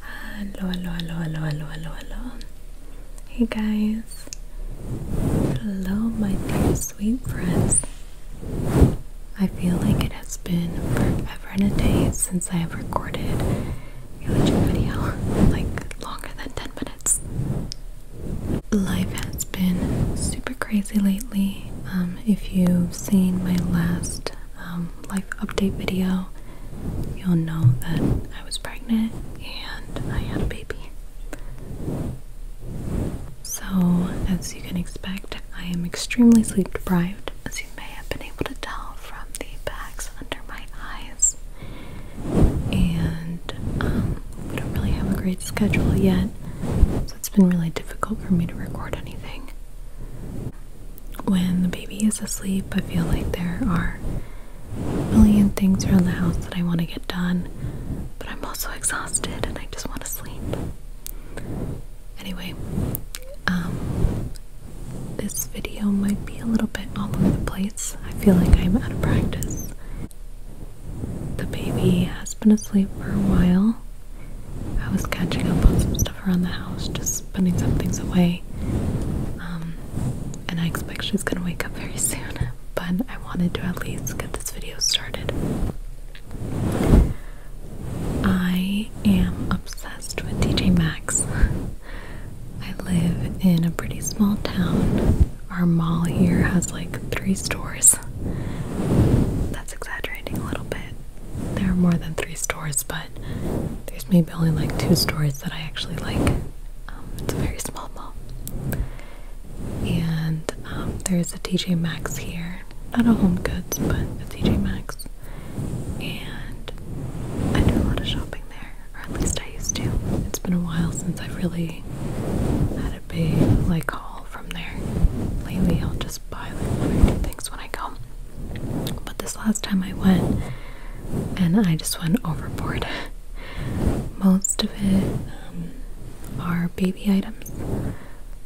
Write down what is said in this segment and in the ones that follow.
Hello, hello, hello, hello, hello, hello, hello. Hey guys. Hello, my dear sweet friends. I feel like it has been forever and a day since I have recorded a YouTube video, like longer than 10 minutes. Life has been super crazy lately. Um, if you've seen my last um, life update video, you'll know that I was pregnant and I had a baby. So, as you can expect, I am extremely sleep deprived, as you may have been able to tell from the bags under my eyes. And um, we don't really have a great schedule yet, so it's been really difficult for me to record anything when the baby is asleep, I feel like there are a million things around the house that I want to get done, but I'm also exhausted and I just want to sleep. Anyway, um, this video might be a little bit all over the place. I feel like I'm out of practice. The baby has been asleep for a while. I was catching up on some stuff around the house, just putting some things away. Um, and I expect she's gonna wake up very soon, but I wanted to at least get this video started. I am obsessed with TJ Maxx. I live in a pretty small town. Our mall here has like three stores. That's exaggerating a little bit. There are more than three stores, but there's maybe only like two stores that I actually like. Um, it's a very small mall. And um, there's a TJ Maxx here. Not a Home Goods, but a TJ Maxx. And I do a lot of shopping there, or at least I used to. It's been a while since I've really had a big like haul from there. Lately, I'll just just buy like one or two things when I go. But this last time I went, and I just went overboard. Most of it um, are baby items,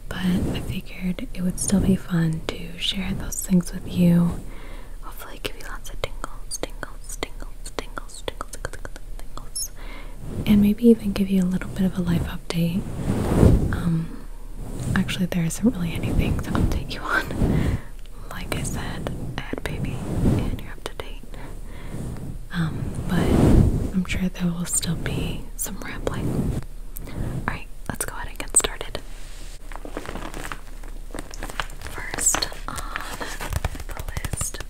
but I figured it would still be fun to share those things with you. Hopefully, give you lots of tingles, tingles, tingles, tingles, tingles, tingles, tingles, and maybe even give you a little bit of a life update. Um, actually, there isn't really anything to update you on. Like I said, I had baby and you're up to date. Um, but I'm sure there will still be some rambling. Alright, let's go ahead and get started. First on the list,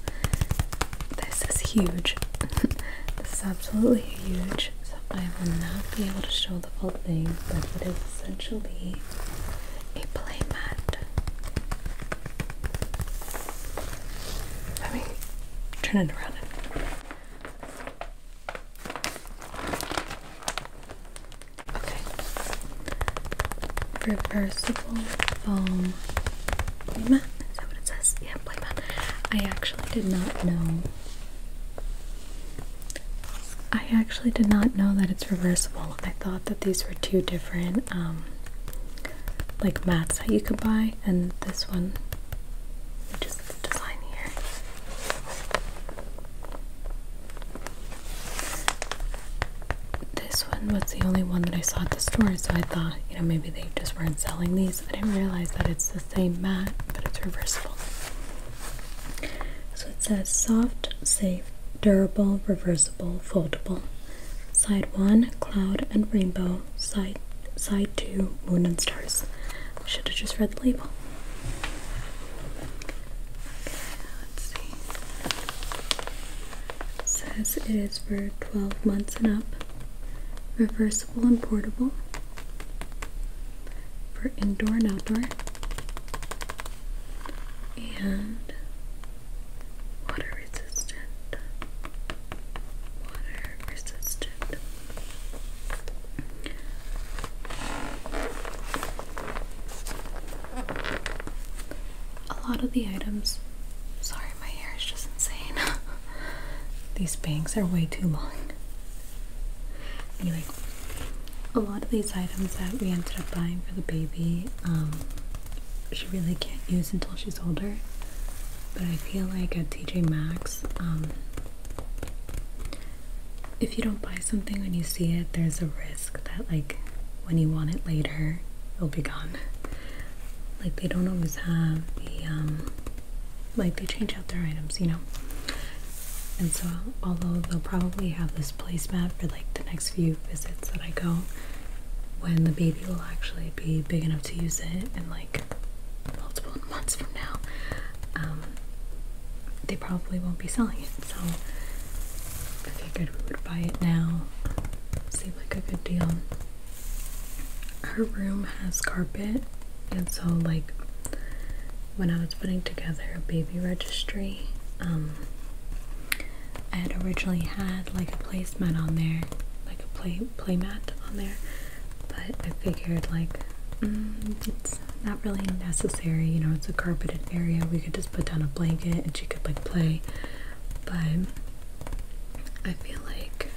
this is huge. this is absolutely huge. So I will not be able to show the whole thing, but it is essentially a playmat. Let me turn it around. Okay. Reversible foam playmat. Is that what it says? Yeah, playmat. I actually did not know I actually did not know that it's reversible. I thought that these were two different um, like mats that you could buy, and this one, just the design here. This one was the only one that I saw at the store, so I thought, you know, maybe they just weren't selling these. I didn't realize that it's the same mat, but it's reversible. So it says soft, safe, durable, reversible, foldable. Side one, cloud and rainbow. Side side two, moon and stars. should have just read the label. says it is for 12 months and up. Reversible and portable for indoor and outdoor and water resistant water resistant a lot of the items sorry my hair is just insane these bangs are way too long Anyway, a lot of these items that we ended up buying for the baby, um, she really can't use until she's older. But I feel like at TJ Maxx, um, if you don't buy something when you see it, there's a risk that, like, when you want it later, it'll be gone. Like, they don't always have the um, like they change out their items, you know. And so, although they'll probably have this placemat for like the next few visits that I go, when the baby will actually be big enough to use it, and like multiple months from now, um, they probably won't be selling it. So, I figured we would buy it now. Seems like a good deal. Her room has carpet and so, like, when I was putting together a baby registry, um, I had originally had like a placemat on there, like a play playmat on there, but I figured like mm, it's not really necessary. You know, it's a carpeted area. We could just put down a blanket and she could like play. But I feel like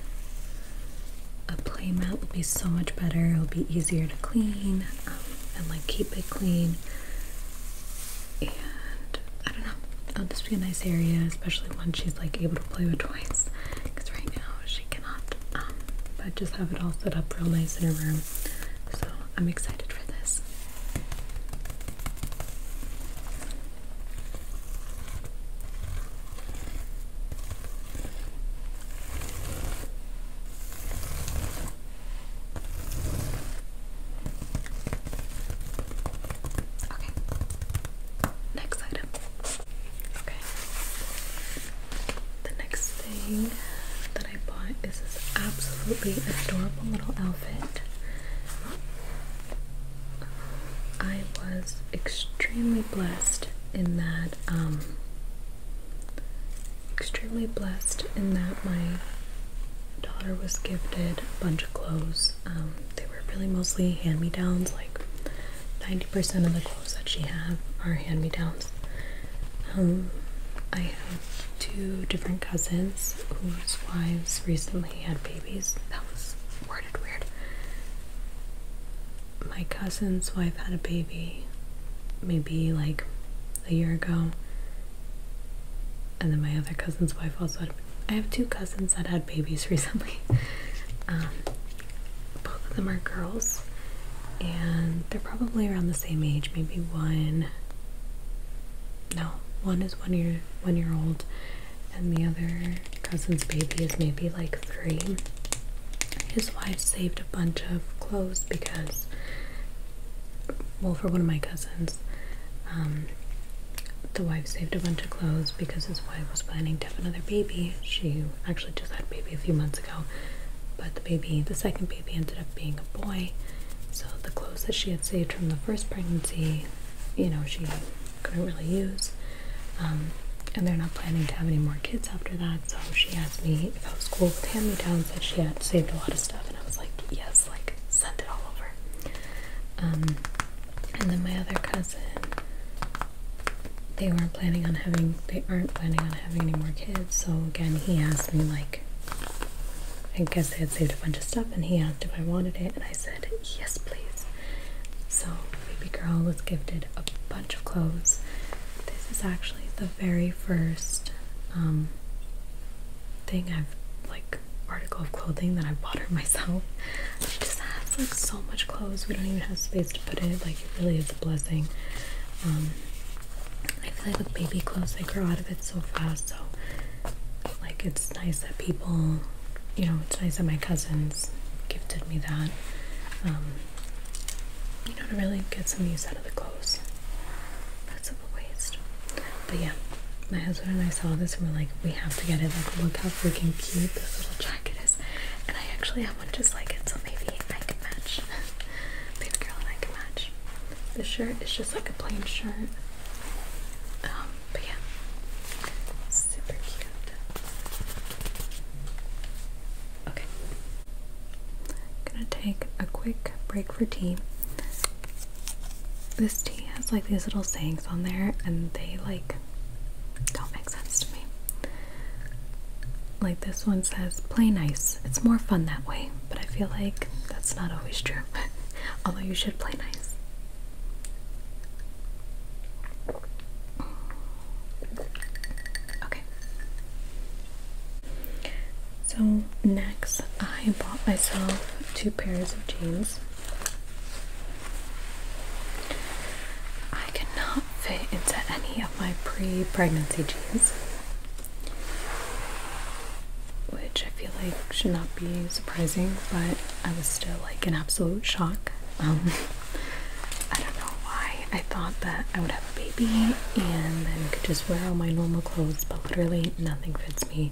a playmat will be so much better. It'll be easier to clean um, and like keep it clean. And I don't know, it'll just be a nice area, especially when she's like able to play with toys. Because right now she cannot. Um, but just have it all set up real nice in her room. So I'm excited for this. Okay. Next item. Okay. The next thing that I bought is this absolutely adorable little outfit. I was extremely blessed in that um, extremely blessed in that my daughter was gifted a bunch of clothes. Um, they were really mostly hand me downs, like 90% of the clothes that she had are hand me downs. Um, I have two different cousins whose wives recently had babies. That was worded weird my cousin's wife had a baby maybe like a year ago. And then my other cousin's wife also had. I have two cousins that had babies recently. Um, both of them are girls. And they're probably around the same age. Maybe one. No, one is one year one year old, and the other cousin's baby is maybe like three his wife saved a bunch of clothes because, well, for one of my cousins, um, the wife saved a bunch of clothes because his wife was planning to have another baby. She actually just had a baby a few months ago, but the baby, the second baby, ended up being a boy. So the clothes that she had saved from the first pregnancy, you know, she couldn't really use. Um, and they're not planning to have any more kids after that. So she asked me if I was cool with hand me downs that she had saved a lot of stuff, and I was like, yes, like send it all over. Um, and then my other cousin, they weren't planning on having, they aren't planning on having any more kids. So again, he asked me like, I guess they had saved a bunch of stuff, and he asked if I wanted it, and I said yes, please. So baby girl was gifted a bunch of clothes. This is actually the very first um, thing I've like article of clothing that I bought her myself. She just has like so much clothes. We don't even have space to put it. Like it really is a blessing. Um, I feel like with baby clothes, they grow out of it so fast. So like it's nice that people, you know, it's nice that my cousins gifted me that. Um, you know, to really get some use out of the clothes. That's a waste. But yeah, my husband and I saw this and we're like, we have to get it. Like, look how freaking cute this little jacket is. And I actually have one just like it, so maybe I can match. Baby girl I can match. The shirt is just like a plain shirt. Um, but yeah, super cute. Okay. I'm gonna take a quick break for tea. This tea has like these little sayings on there, and they like don't make sense to me. Like this one says, play nice. It's more fun that way, but I feel like that's not always true. Although you should play nice. Okay. So, next, I bought myself two pairs of jeans. I cannot fit into any of my pre pregnancy jeans, which I feel like should not be surprising, but I was still like an absolute shock. Um, I don't know why I thought that I would have a baby and then could just wear all my normal clothes, but literally nothing fits me.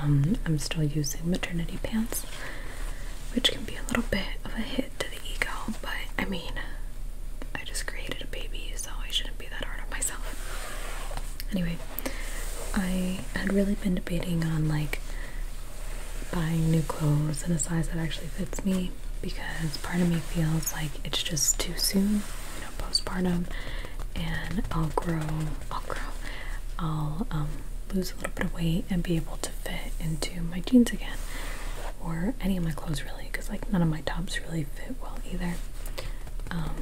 Um, I'm still using maternity pants, which can be a little bit of a hit to the ego, but I mean, I just created a baby, so I shouldn't be that hard on myself. Anyway, I had really been debating on like buying new clothes in a size that actually fits me because part of me feels like it's just too soon, you know, postpartum, and I'll grow, I'll grow, I'll um, lose a little bit of weight and be able to fit into my jeans again or any of my clothes really because like none of my tops really fit well either. Um,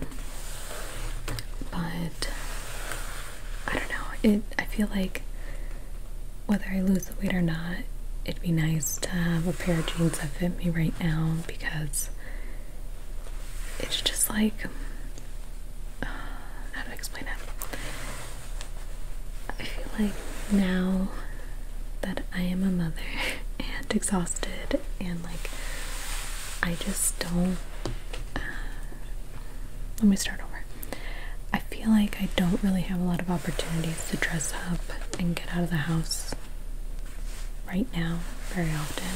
but I don't know, it I feel like whether I lose the weight or not, it'd be nice to have a pair of jeans that fit me right now because it's just like how to explain it. I feel like now that I am a mother and exhausted and like I just don't. Uh, let me start over. I feel like I don't really have a lot of opportunities to dress up and get out of the house right now very often.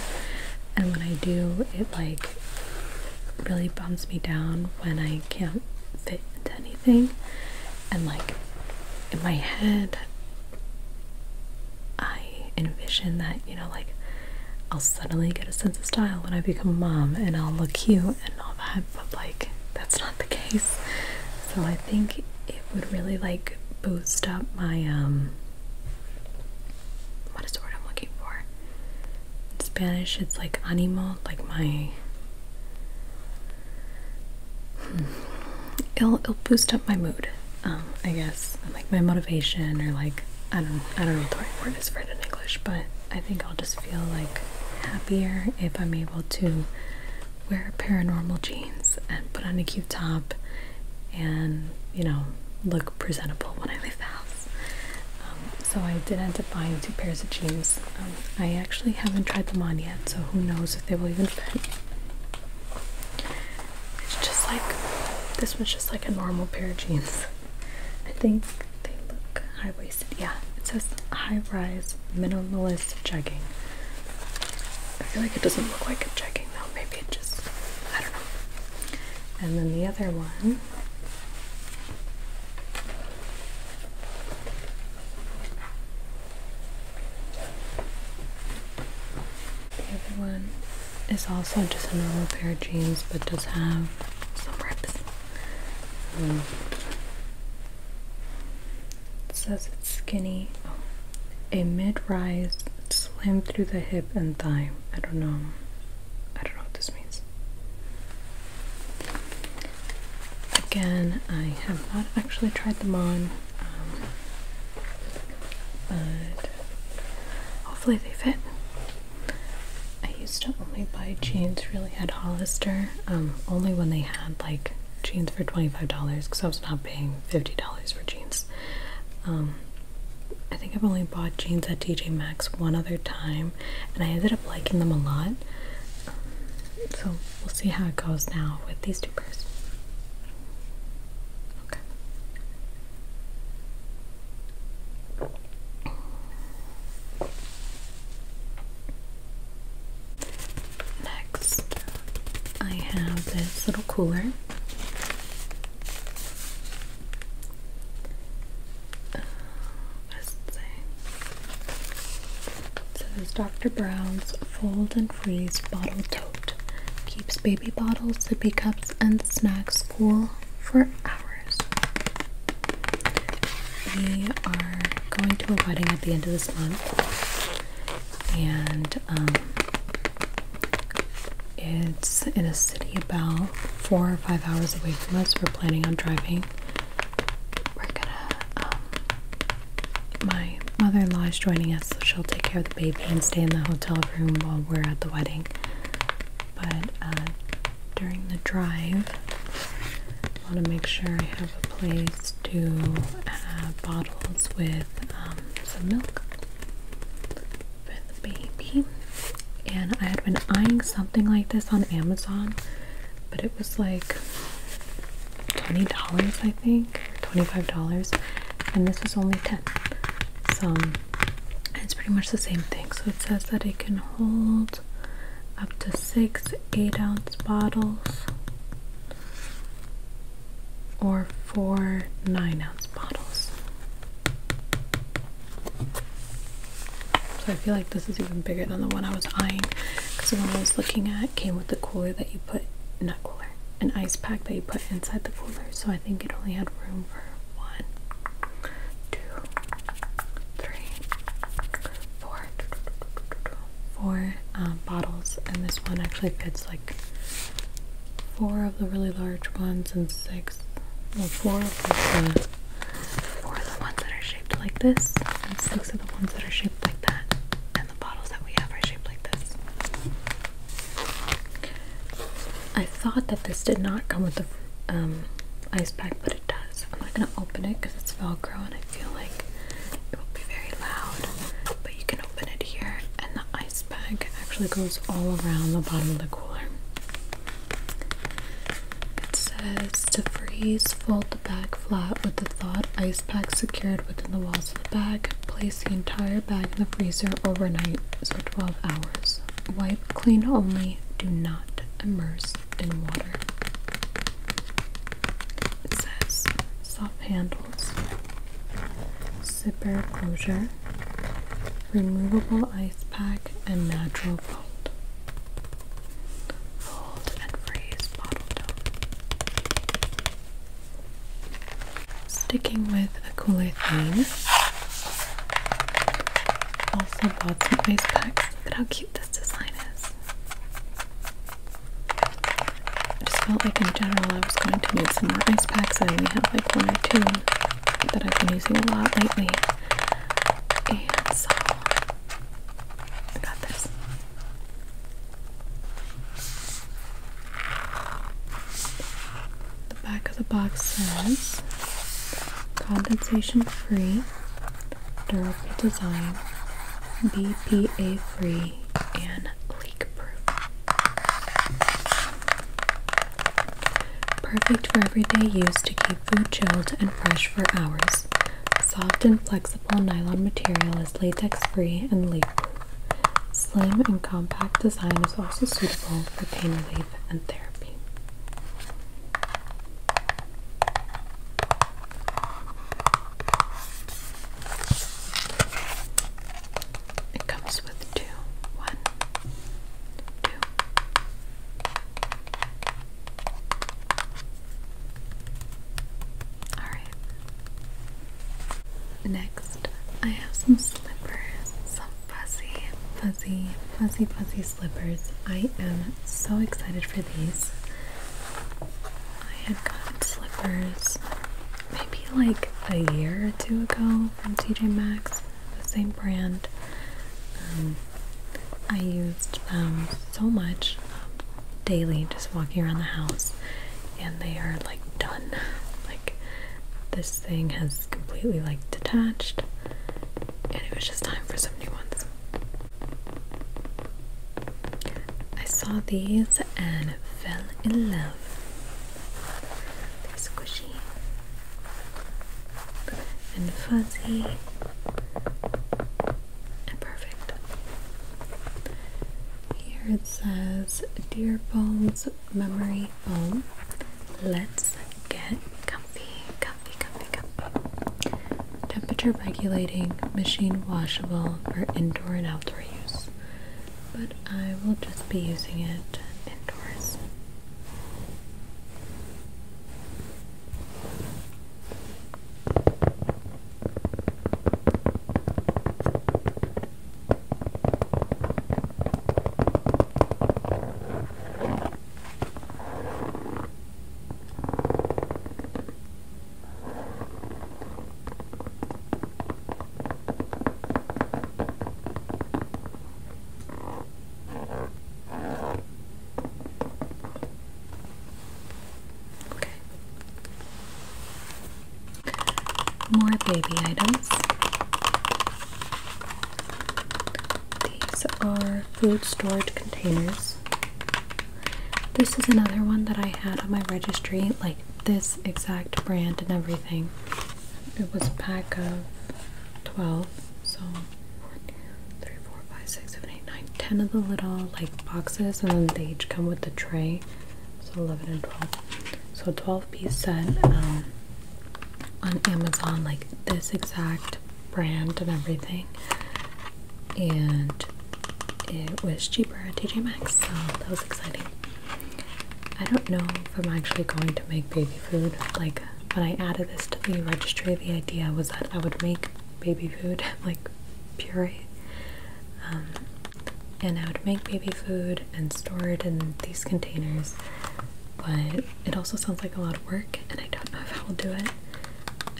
And when I do, it like really bums me down when I can't fit into anything. And like in my head, I envision that, you know, like I'll suddenly get a sense of style when I become a mom and I'll look cute and all that but like that's not the case. So I think it would really like boost up my um what is the word I'm looking for? In Spanish it's like animo, like my hmm, it'll it'll boost up my mood, um, I guess. Like my motivation or like I don't I don't know what the right word is for it in English, but I think I'll just feel like happier if I'm able to wear paranormal jeans and put on a cute top and you know look presentable when I leave the house. Um, so I did end up buying two pairs of jeans. Um, I actually haven't tried them on yet, so who knows if they will even fit. It's just like this was just like a normal pair of jeans. I think they look high waisted. Yeah, it says high rise minimalist jegging. I feel like it doesn't look like a jegging though. Maybe it just, I don't know. And then the other one. The other one is also just a normal pair of jeans, but does have some rips it says it's skinny. A mid-rise slim through the hip and thigh. I don't know. I don't know what this means. Again, I have not actually tried them on, um, but hopefully they fit. I used to only buy jeans really at Hollister, um, only when they had like jeans for $25 because I was not paying $50 for jeans. Um, I think I've only bought jeans at TJ Maxx one other time and I ended up liking them a lot. so we'll see how it goes now with these two pairs. Okay. Next, I have this little cooler. Uh, it say? says Dr. Brown's Fold and Freeze Bottle Tote keeps baby bottles, sippy cups, and snacks cool for hours. We are going to a wedding at the end of this month, and um, it's in a city about four or five hours away from us. We're planning on driving. Um, my mother in law is joining us, so she'll take care of the baby and stay in the hotel room while we're at the wedding. But uh, during the drive. I want to make sure I have a place to have bottles with um, some milk for the baby. And I had been eyeing something like this on Amazon, but it was like $20, I think, $25. And this was only 10 So it's pretty much the same thing. So it says that it can hold up to six 8 ounce bottles or four 9 ounce bottles. So I feel like this is even bigger than the one I was eyeing because the one I was looking at came with a cooler that you put, not cooler, an ice pack that you put inside the cooler. So I think it only had room for one, two, three, four, four um, bottles, and this one actually fits like four of the really large ones and six, well, four of the four of the ones that are shaped like this, and six of the ones that are shaped like that, and the bottles that we have are shaped like this. I thought that this did not come with the um, ice pack, but it it does. I'm not gonna open it because it's velcro and I feel like it will be very loud. But you can open it here and the ice bag actually goes all around the bottom of the cooler. It says to freeze, fold the bag flat with the thawed ice pack secured within the walls of the bag. Place the entire bag in the freezer overnight, so 12 hours. Wipe clean only, do not immerse in water. says soft handles, zipper closure, removable ice pack, and natural fold. Fold and freeze bottle Sticking with a cooler theme also got some ice packs. Look at how cute this design is. I just felt like in general I was going to need some more ice packs. I only have like one or two that I've been using a lot lately. And so I got this back of the box says condensation free, durable design, BPA free, and leak proof. Perfect for everyday use to keep food chilled and fresh for hours. Soft and flexible nylon material is latex free and leak proof. Slim and compact design is also suitable for pain relief and therapy. It comes with two. Alright. Next, I have some slippers, fuzzy, fuzzy, fuzzy, fuzzy slippers. I am so excited for these. I had gotten slippers maybe like a year or two ago from TJ Maxx, the same brand. Um, I used them so much um, daily just walking around the house, and they are like done. Like, this thing has completely like detached and it was just time for some new ones. I saw these and fell in love. They're squishy and fuzzy and perfect. Here it says Deer Bones Memory Foam let's get comfy, comfy, comfy, comfy. Temperature regulating, machine washable for indoor and outdoor use. But I will just be using it indoors. Okay. More baby items. These are food storage containers. This is another one that I had on my registry, like this exact brand and everything. It was a pack of 12, so 1, 3, 4, 5, 6, 7, 8, 9, 10 of the little like boxes, and then they each come with the tray. So 11 and 12. So 12 piece set. Um, on Amazon, like this exact brand and everything, and it was cheaper at TJ Maxx, so that was exciting. I don't know if I'm actually going to make baby food. Like, when I added this to the registry, the idea was that I would make baby food, like puree. Um, and I would make baby food and store it in these containers but it also sounds like a lot of work and I don't know if I will do it.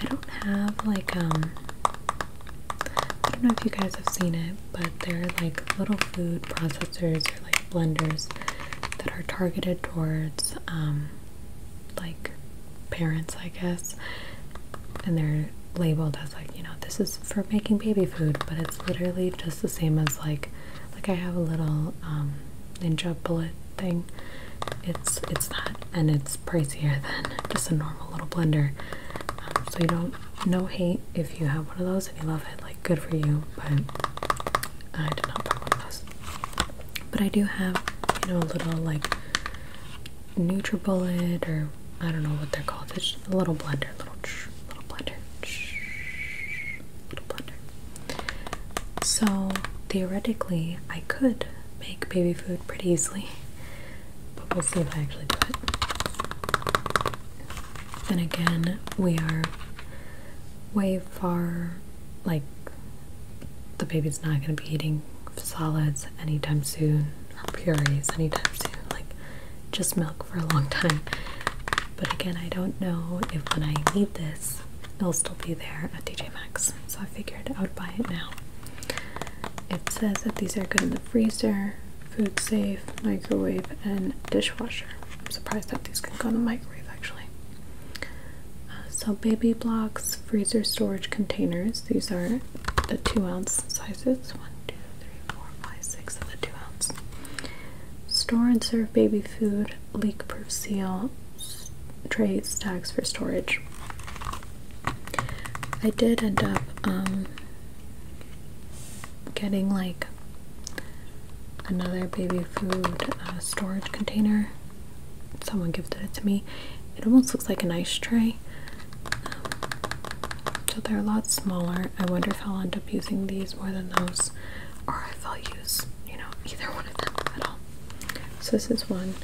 I don't have like um I don't know if you guys have seen it, but they're like little food processors or like blenders that are targeted towards um like parents, I guess. And they're labeled as like, you know, this is for making baby food, but it's literally just the same as like like I have a little um ninja bullet thing. It's it's that, and it's pricier than just a normal little blender. Um, so you don't no hate if you have one of those and you love it, like good for you. But I did not buy one of those. But I do have you know a little like NutriBullet or I don't know what they're called. It's just a little blender, little little blender. So theoretically, I could make baby food pretty easily, but we'll see if I actually do it. Then again, we are way far, like, the baby's not going to be eating solids anytime soon or purees anytime soon. Like, just milk for a long time. But again, I don't know if when I need this, it'll still be there at DJ Maxx. So I figured I would buy it now. It says that these are good in the freezer, food safe, microwave, and dishwasher. I'm surprised that these can go in the microwave actually. Uh, so, baby blocks, freezer storage containers. These are the two ounce sizes. One, two, three, four, five, six of the two ounce. Store and serve baby food, leak proof seal, trays, tags for storage. I did end up um, getting like another baby food uh, storage container. Someone gifted it to me. It almost looks like an ice tray. Um, so they're a lot smaller. I wonder if I'll end up using these more than those or I'll use, you know, either one of them at all. So this is one,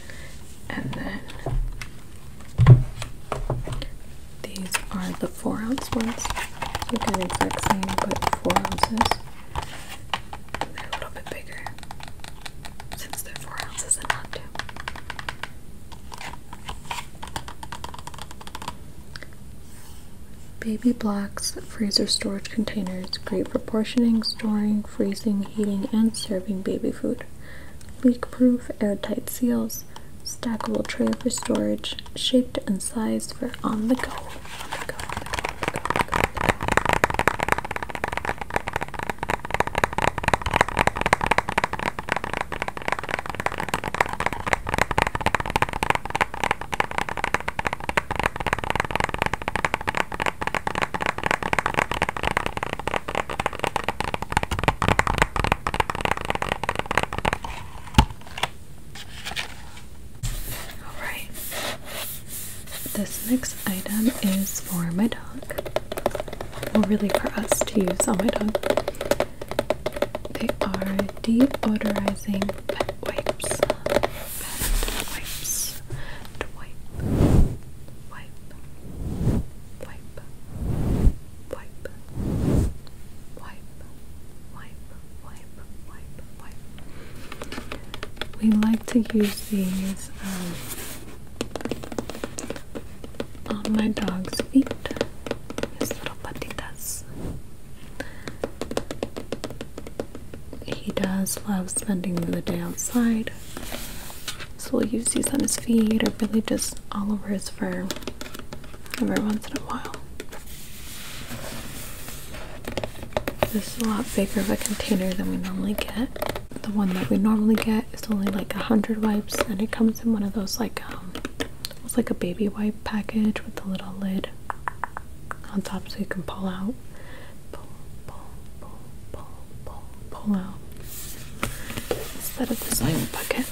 and then these are the four ounce ones. So you can exact same, but four ounces. they're a little bit bigger since they're four ounces and not two. Baby blocks, freezer storage containers, great proportioning, storing, freezing, heating, and serving baby food. Leak proof, airtight seals, stackable tray for storage, shaped and sized for on the go. All right. This next item is for my dog. Well, really for us to use on my dog. They are deodorizing pet wipes. wipes. wipe. Wipe. Wipe. Wipe. Wipe. Wipe. Wipe. Wipe. We like to use these um, on my dog's feet. His little patitas. He does love spending the day outside, so we'll use these on his feet or really just all over his fur every once in a while. This is a lot bigger of a container than we normally get. The one that we normally get is only like a hundred wipes, and it comes in one of those like um, almost like a baby wipe package with a little lid on top so you can pull out. Pull, pull, pull, pull, pull, out. Instead of the little bucket.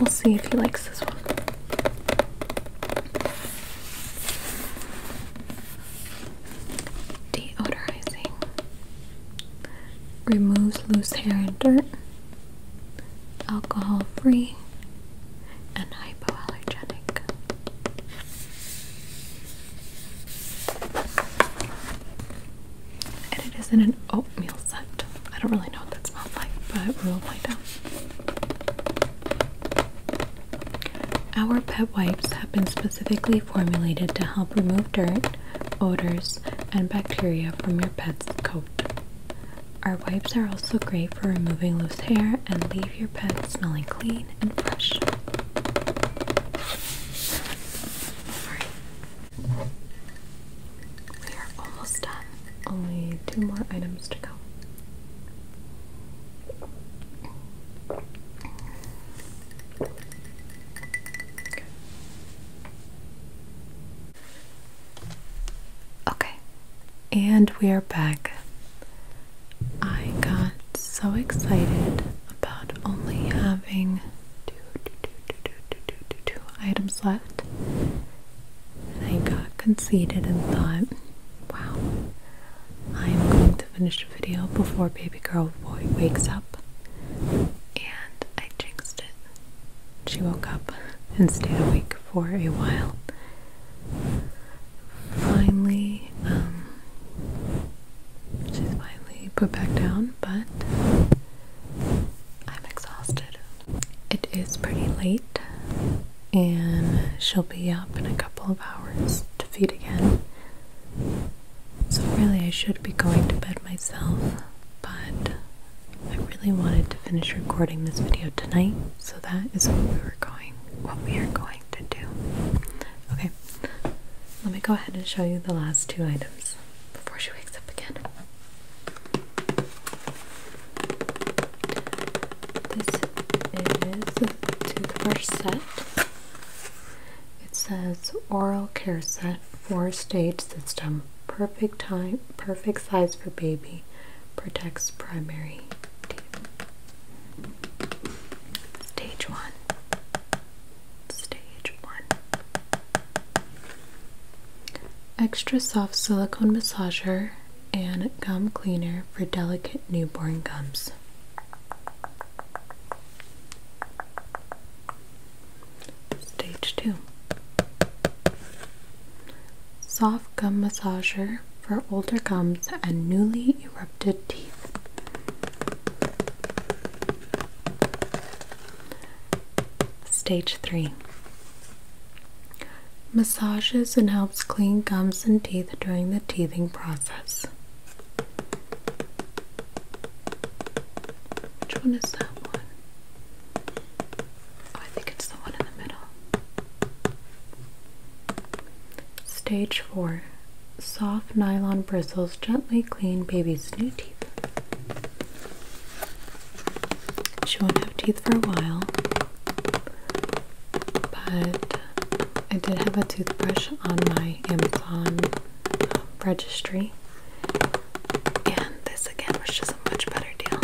We'll see if he likes this one. Deodorizing. Removes loose hair and dirt alcohol free, and hypoallergenic. And it is in an oatmeal set. I don't really know what that smells like, but we'll find out. Our pet wipes have been specifically formulated to help remove dirt, odors, and bacteria from your pet's coat. Our wipes are also great for removing loose hair and leave your pet smelling clean and fresh. We are almost done. Only two more items to go. Okay, and we are back. I got so excited about only having two items left, and I got conceited and thought, wow, I'm going to finish the video before baby girl boy wakes up. And I jinxed it she woke up and stayed awake for a while. Finally, um, she's finally put back down, but I'm exhausted. It is pretty late, and she'll be up in a couple of hours to feed again. So, really, I should be going to bed myself, but I really wanted to finish recording this video tonight, so that is what we were going what we are going to do. Okay. Let me go ahead and show you the last two items before she wakes up again. This is the toothbrush set. It says oral care set four stage system. Perfect time, perfect size for baby. Protects primary teeth. Stage one. Stage one. Extra soft silicone massager and gum cleaner for delicate newborn gums. Stage 2 Soft gum massager for older gums and newly erupted teeth. Stage 3 Massages and helps clean gums and teeth during the teething process. Which one is that one? Oh, I think it's the one in the middle. Stage 4 Soft nylon bristles gently clean baby's new teeth. She won't have teeth for a while, but I did have a toothbrush on my Amazon registry. And this again was just a much better deal.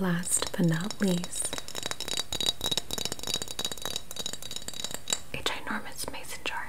Last but not least, a ginormous mason jar.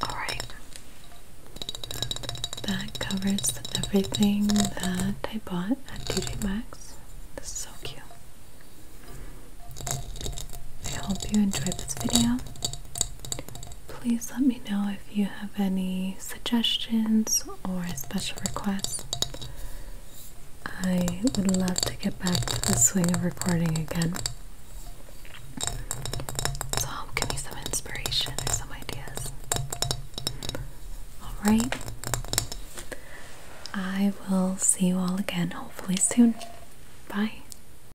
All right. That covers everything that I bought at TJ Maxx. This is so cute. I hope you enjoyed this video. Please let me know if you have any suggestions or special requests. I would love to get back to the swing of recording again. So, give me some inspiration or some ideas. Alright, I will see you all again hopefully soon. Bye.